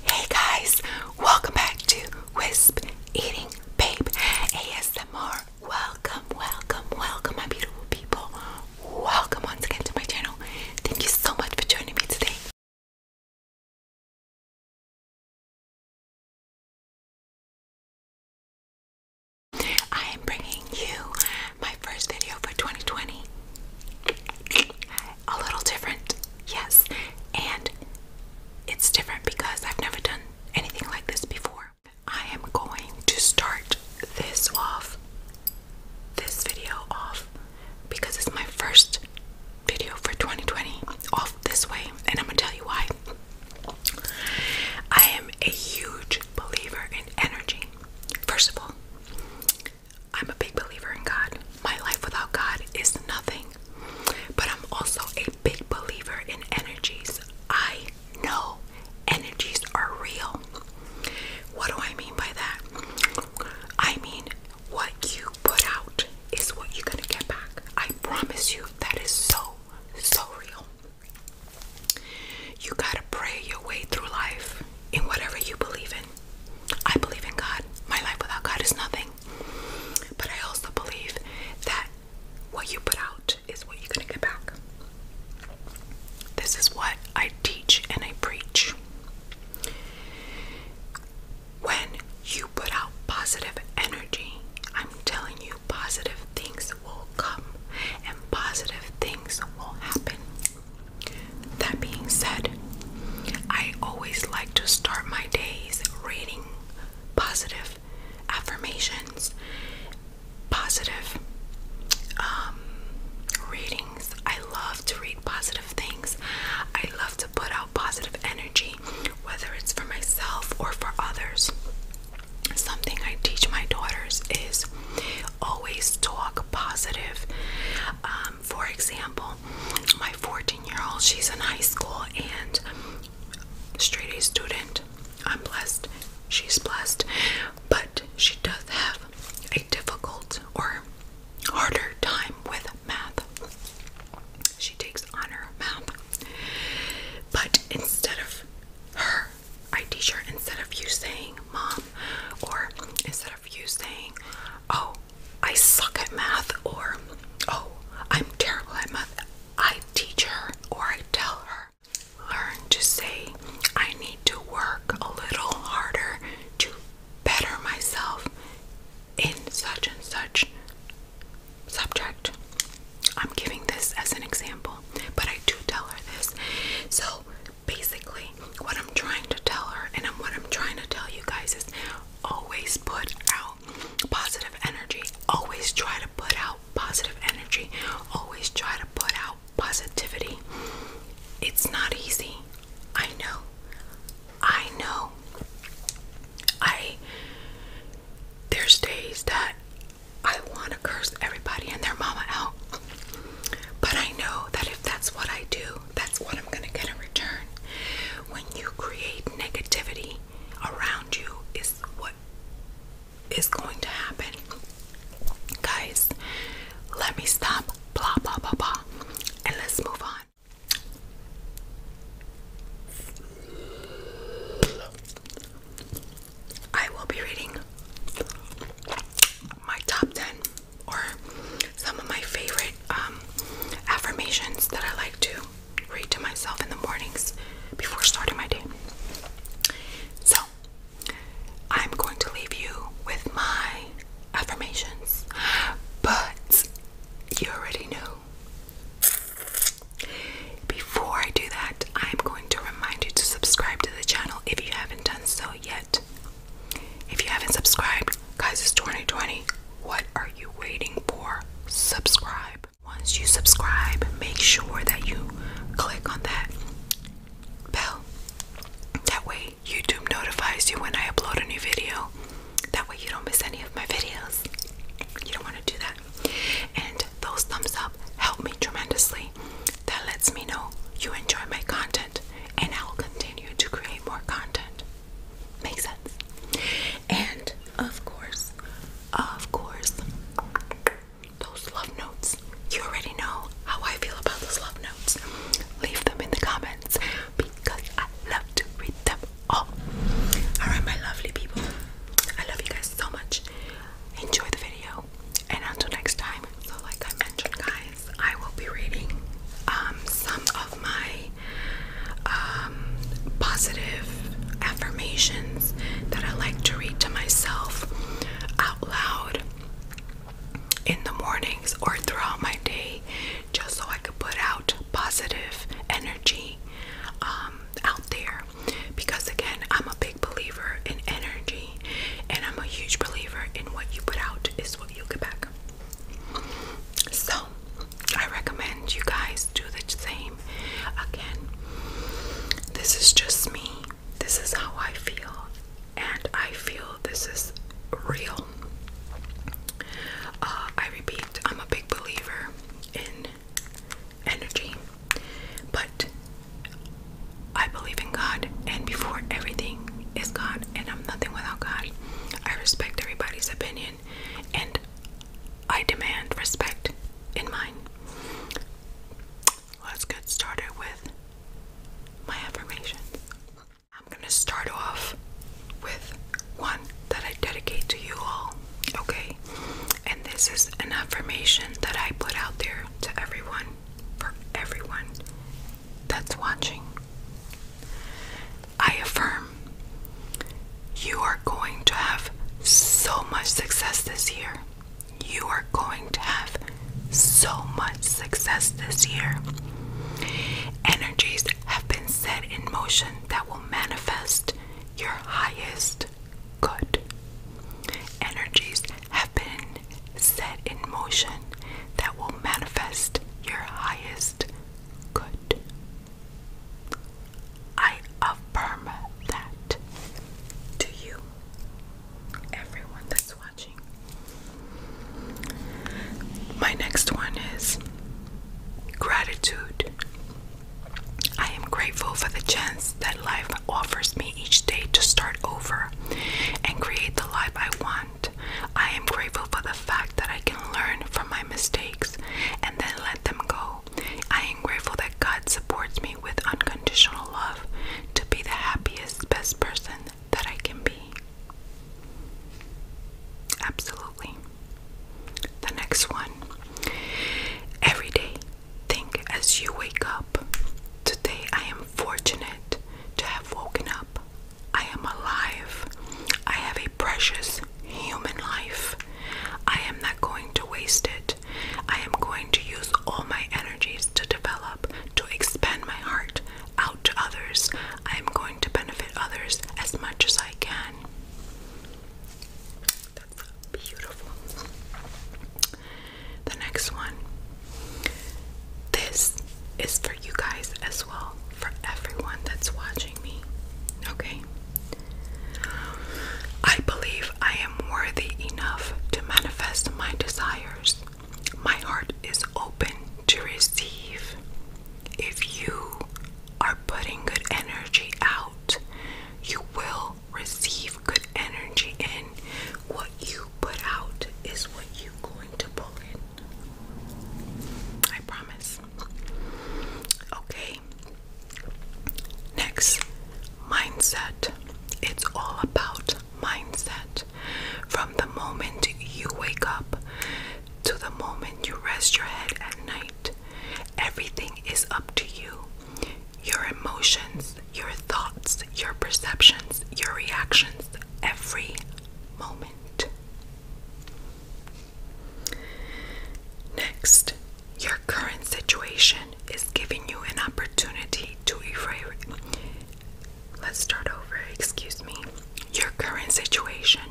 Hey guys, welcome back to Wisp Eating Babe ASMR. Welcome, welcome, welcome, my beautiful people. Welcome once again to my channel. Thank you so much for joining me today. I am bringing you my first video for 2020 a little different, yes, and it's different because I've never done anything like this before. I am going to start this off, this video off, because it's my first video for 2020 off this way, and I'm gonna tell you why. I am a huge believer in energy. First of all, I'm a big believer in God. My life without God is nothing. But I'm also a big believer in energies. I know energies are real. What do I mean by that? I mean, what you put out is what you're going to get back. I promise you, that is so, so real. You got to pray your way through life in whatever you believe in. I believe in God. My life without God is nothing. But I also believe that what you put out is what you're going to get back. This is what I teach and I preach. When you put out positive energy, I'm telling you, positive things will come and positive things will happen. That being said, I always like to start my days reading positive affirmations, positive um, readings. I love to read positive things. I love to put out positive energy, whether it's for myself or for others. Something I teach my daughters is always talk positive. Um, for example, my 14 year old, she's in high school and straight A student. I'm blessed, she's blessed, but she does have a difficult or harder time with math. She takes honor math. But instead of her, I teach her, instead of you saying mom, or instead of you saying, oh, I suck at math, or oh, I'm terrible at math. I teach her or I tell her. Learn to say, I need to work a little harder to better myself in such and such subject. I'm giving this as an example, but I do tell her this. So basically, what I'm trying to tell her, and what I'm trying to tell you guys, is always put out positive energy. Always try to put out positive energy. Always try to put out positivity. It's not easy. I know. I know. I there's days that I want to curse everybody and their mama out. But I know that if that's what I do, that's what I'm going to get in return. When you create negativity around you, is what is going to happen. Guys, let me stop. Blah, blah, blah, blah. And let's move on. I will be reading my top 10 or some of my favorite um, affirmations that I like to read to myself in the mornings before starting my day. So, I'm going to leave you with my affirmations, but you already know. Before I do that, I'm going to remind you to subscribe to the channel if you haven't done so yet. If you haven't subscribed, guys, it's 2020. What are you waiting for? Subscribe. Once you subscribe, make sure that you click on that bell. That way, YouTube notifies you when I upload a new video. That way, you don't miss any of my videos. You don't want to do that. And those thumbs up help me tremendously. That lets me know you enjoy my content, and I will continue to create more content. Makes sense. And of course, of course, those love notes. You already know how I feel about those love notes. Leave them in the comments because I love to read them all. Alright, my lovely people. I love you guys so much. Enjoy the video. And until next time, so like I mentioned, guys, I will be reading um, some of my um, positive affirmations that I like to read to myself out loud in the mornings or throughout my day, just so I could put out positive energy um, out there. Because again, I'm a big believer in energy, and I'm a huge believer in what you put out is what you get back. So, I recommend you guys do the same. Again, this is just me. This is how I feel, and I feel this is real. Uh, I repeat, I'm a big believer in energy, but I believe in God, and before everything is God, and I'm nothing without God. I respect everybody's opinion and I demand respect in mine. Let's get started with my affirmations. I'm going to start off with one that I dedicate to you all, okay? And this is an affirmation that I put out there to everyone, for everyone, that's watching, I affirm you are going to have so much success this year. You are going to have so much success this year. Energies have been set in motion that will manifest your highest good. Energies have been set in motion that will manifest your highest good. I affirm that to you, everyone that's watching. My next one is gratitude. I am grateful for the chance that life offers me each day to start over and create the life I want. I am grateful for the fact that I can learn from my mistakes and then let them go. I am grateful that God supports me with unconditional love to be the happiest, best person that I can be. Absolutely. The next one. Every day, think as you wake up. Today, I am fortunate to have woken up I am alive. I have a precious human life. I am not going to waste it. I am going to use all my energies to develop, to expand my heart out to others. I am going to benefit others as much as I can. That's beautiful. The next one. This is for you guys as well for everyone that's watching me. Okay? I believe I am worthy enough to manifest my desires. My heart is open to receive. If you are putting good energy out, you will receive good energy in. What you put out is what you going to pull it. I promise. Okay. Next, mindset. It's all about mindset. From the moment you wake up to the moment you rest your head at night, everything is up to you. Your emotions, your thoughts, your perceptions, your reactions, every moment. Next, your current situation is giving you an opportunity to erase. Let's start over, excuse me. Your current situation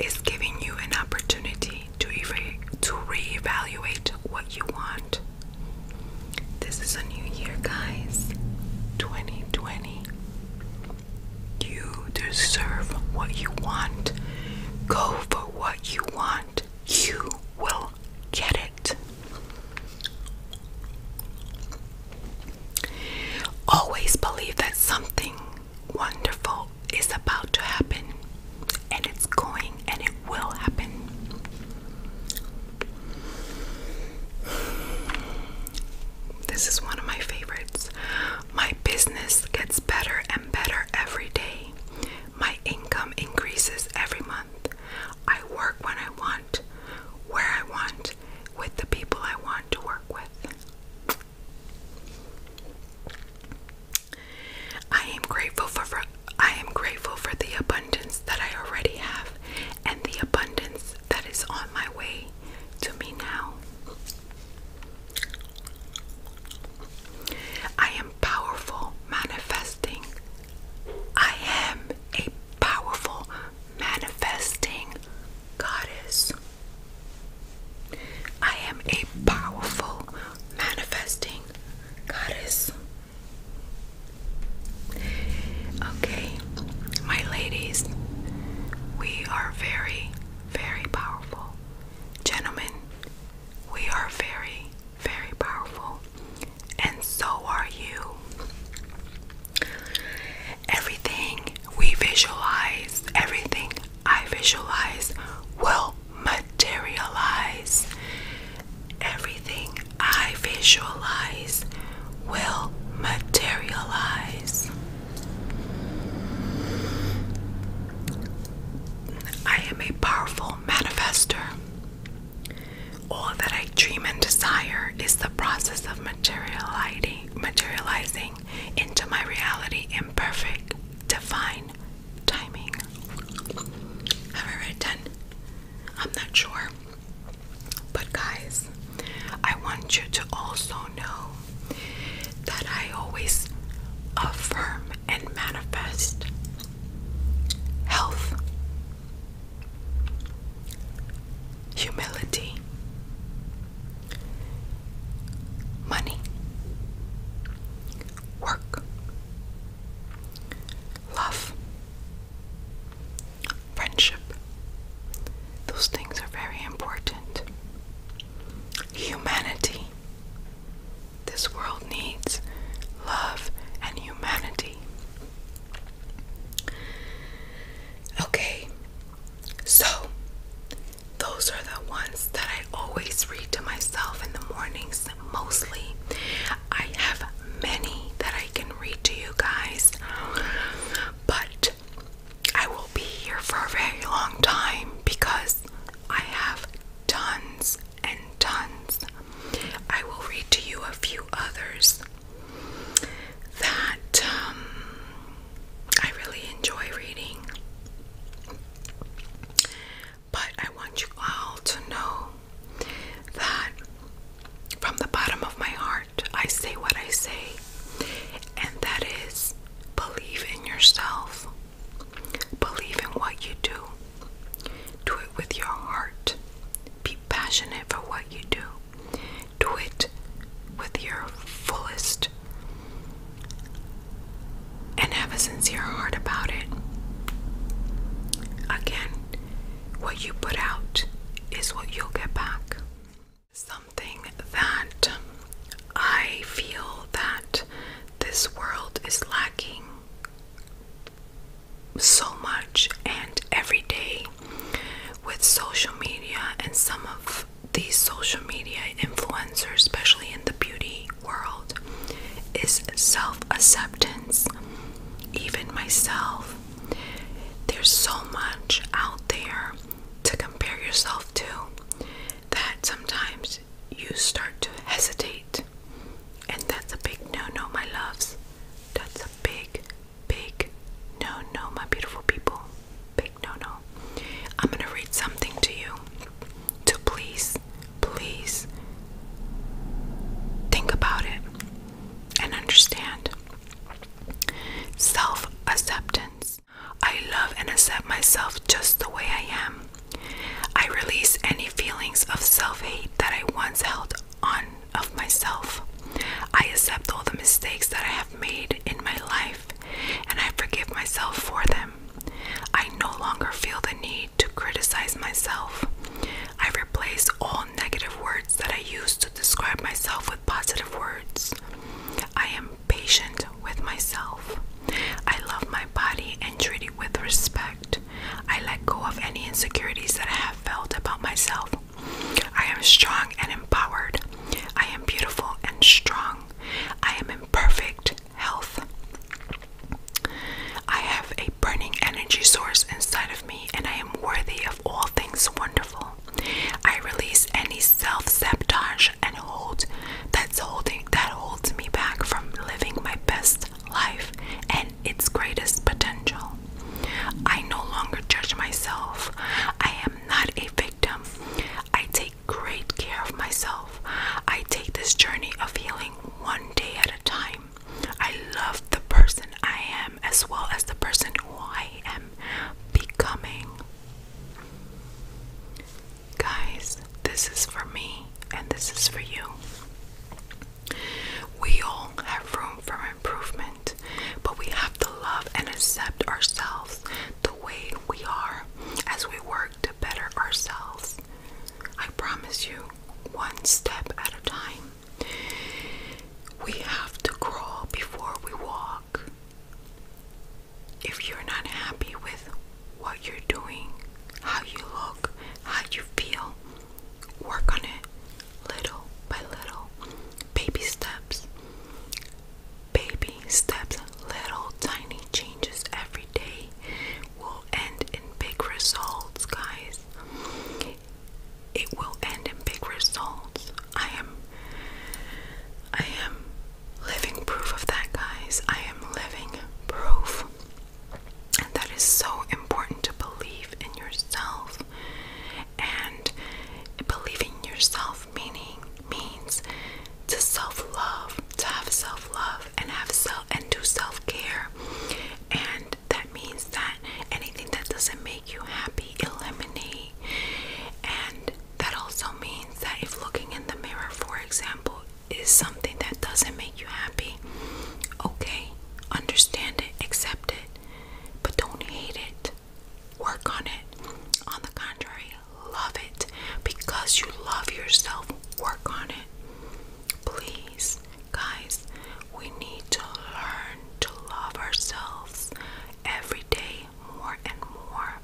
is giving you an opportunity to to reevaluate what you want. This is a new year, guys. 2020. You deserve what you want. Go for what you want. You will get it. Always believe that something wonderful is about to happen, and it's going and it will happen. This is one of my favorites. My business gets better and better every day. My income increases every month. I work when I want, where I want, with the people I want to work with. I am grateful for, I am grateful for the abundance that I already have and the abundance that is on my way to me now. I am powerful manifesting. I am a powerful manifesting goddess. I am a powerful manifesting goddess. Okay, my ladies, we are very, very powerful. Gentlemen, we are very, very powerful. And so are you. Everything we visualize, everything I visualize will materialize. Everything I visualize will materialize. I am a powerful manifester. All that I dream and desire is the process of materializing into my reality in perfect, divine timing. Have I read 10? I'm not sure. But, guys, I want you to also know that I always affirm and manifest health, humility, money, work, love, friendship. Those things are very important. Humanity. This world needs love and humanity. Okay, so those are the ones that I always read to myself in the mornings mostly. I have many that I can read to you guys, but I will be here for a very long time because I have tons and tons. I will read to you a few others that um, I really enjoy reading. But I want you all to know that from the bottom of my heart, I say what I say, and that is believe in yourself, believe in what you do, do it with your heart, be passionate for what you do, do it with your fullest, and have a sincere heart about it. Again, what you put out is what you'll get back. Something that I feel that this world is lacking so much, and every day with social media and some of these social media influencers, especially in the beauty world, is self acceptance. Even myself, there's so much out there to compare yourself to that sometimes you start to hesitate. And that's a big no no, my loves. That's a big, big no no, my beautiful people. Big no no. I'm going to read something to you to please, please think about it and understand. Self acceptance. I love and accept myself just the way I am. I release any feelings of self hate that I once held on of myself. I accept all the mistakes that I have made in my life and I forgive myself for them. I no longer feel the need to criticize myself. I replace all negative words that I use to describe myself with positive words. I am patient with myself. I love my body and treat it with respect. I let go of any insecurities that I have felt about myself. I am strong and empowered. I am beautiful and strong. I am in perfect health. I have a burning energy source inside of me and I am worthy of of all things wonderful. I release any self-sabotage and hold that's holding that holds me back from living my best life and its greatest potential. I no longer judge myself. I am not a victim. I take great care of myself. I take this journey of healing one day at a time. I love the person I am as well as the person who I am becoming. Guys, this is for me and this is for you. We all have room for improvement, but we have to love and accept ourselves the way we are as we work to better ourselves. I promise you, one step at a time. We have to crawl before we walk. If you're not happy with what you're doing, how you look, how you feel, work on it little by little. Baby steps. Baby steps, little tiny changes every day will end in big results, guys it will end in big results. I am I am living proof of that guys. I am living proof. And that is so important to believe in yourself. And believing yourself meaning means to self-love, to have self-love and have self and do self-care. And that means that anything that doesn't make you happy, eliminate. And that also means that if looking in the mirror, for example, is something that doesn't make you happy, okay, understand it, accept it, but don't hate it. Work on it. On the contrary, love it. Because you love yourself, work on it. Please, guys, we need to learn to love ourselves, every day more and more.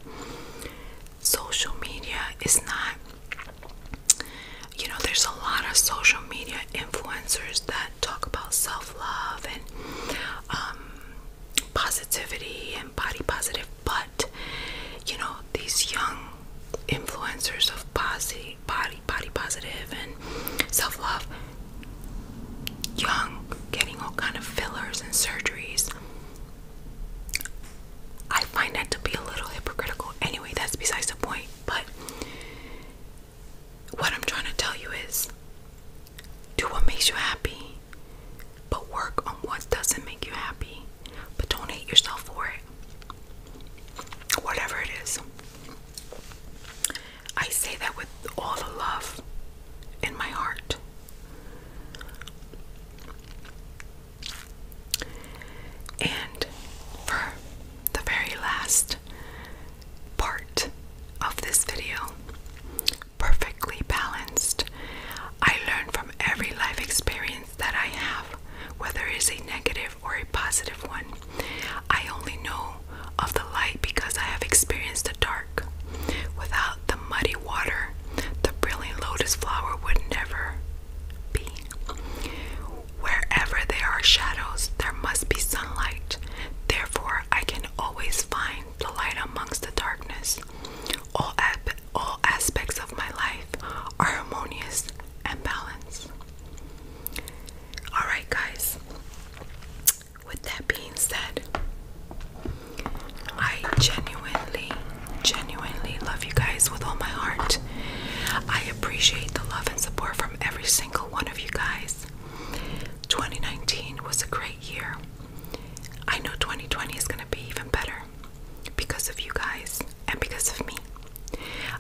Social media is not, you know, there's a lot of social media influencers that talk about self love and um, positivity and body positive, but you know, these young influencers of posi body, body positive and self love young, getting all kind of fillers and surgeries. I find that to be a little hypocritical. Anyway, that's besides the point. But what I'm trying to tell you is do what makes you happy, but work on what doesn't make you happy. But don't hate yourself for it. Whatever it is. I say that with all the love in my heart. And for the very last part of this video, perfectly balanced, I learn from every life experience that I have, whether it's a negative or a positive one. I only know of the light because I have experienced the dark. Without the muddy water, the brilliant lotus flower would never be. Wherever there are shadows, there must be sunlight. Therefore, I can always find the light amongst the darkness. All, aspects of my life are harmonious and balanced. Alright, guys, with that being said, I genuinely, genuinely love you guys with all my heart. I appreciate the love and support from every single one of you guys. 2019 was a great year. I know 2020 is going to be even better because of you guys and because of me.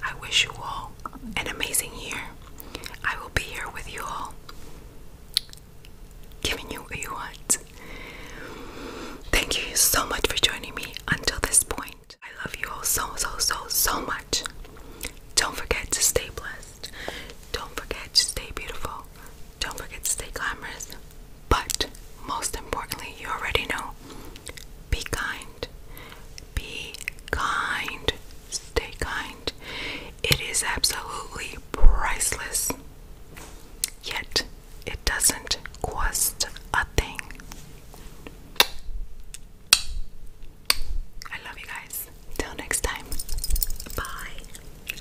I wish you all an amazing year. I will be here with you all giving you what you want. Thank you so much for joining me until this point. I love you all so, so, so, so much. Don't forget to stay blessed. Don't forget to stay beautiful. Don't forget to stay glamorous. But most importantly, you already know be kind. Be kind stay kind. It is absolutely priceless. Yet it doesn't cost a thing. I love you guys. Till next time. Bye.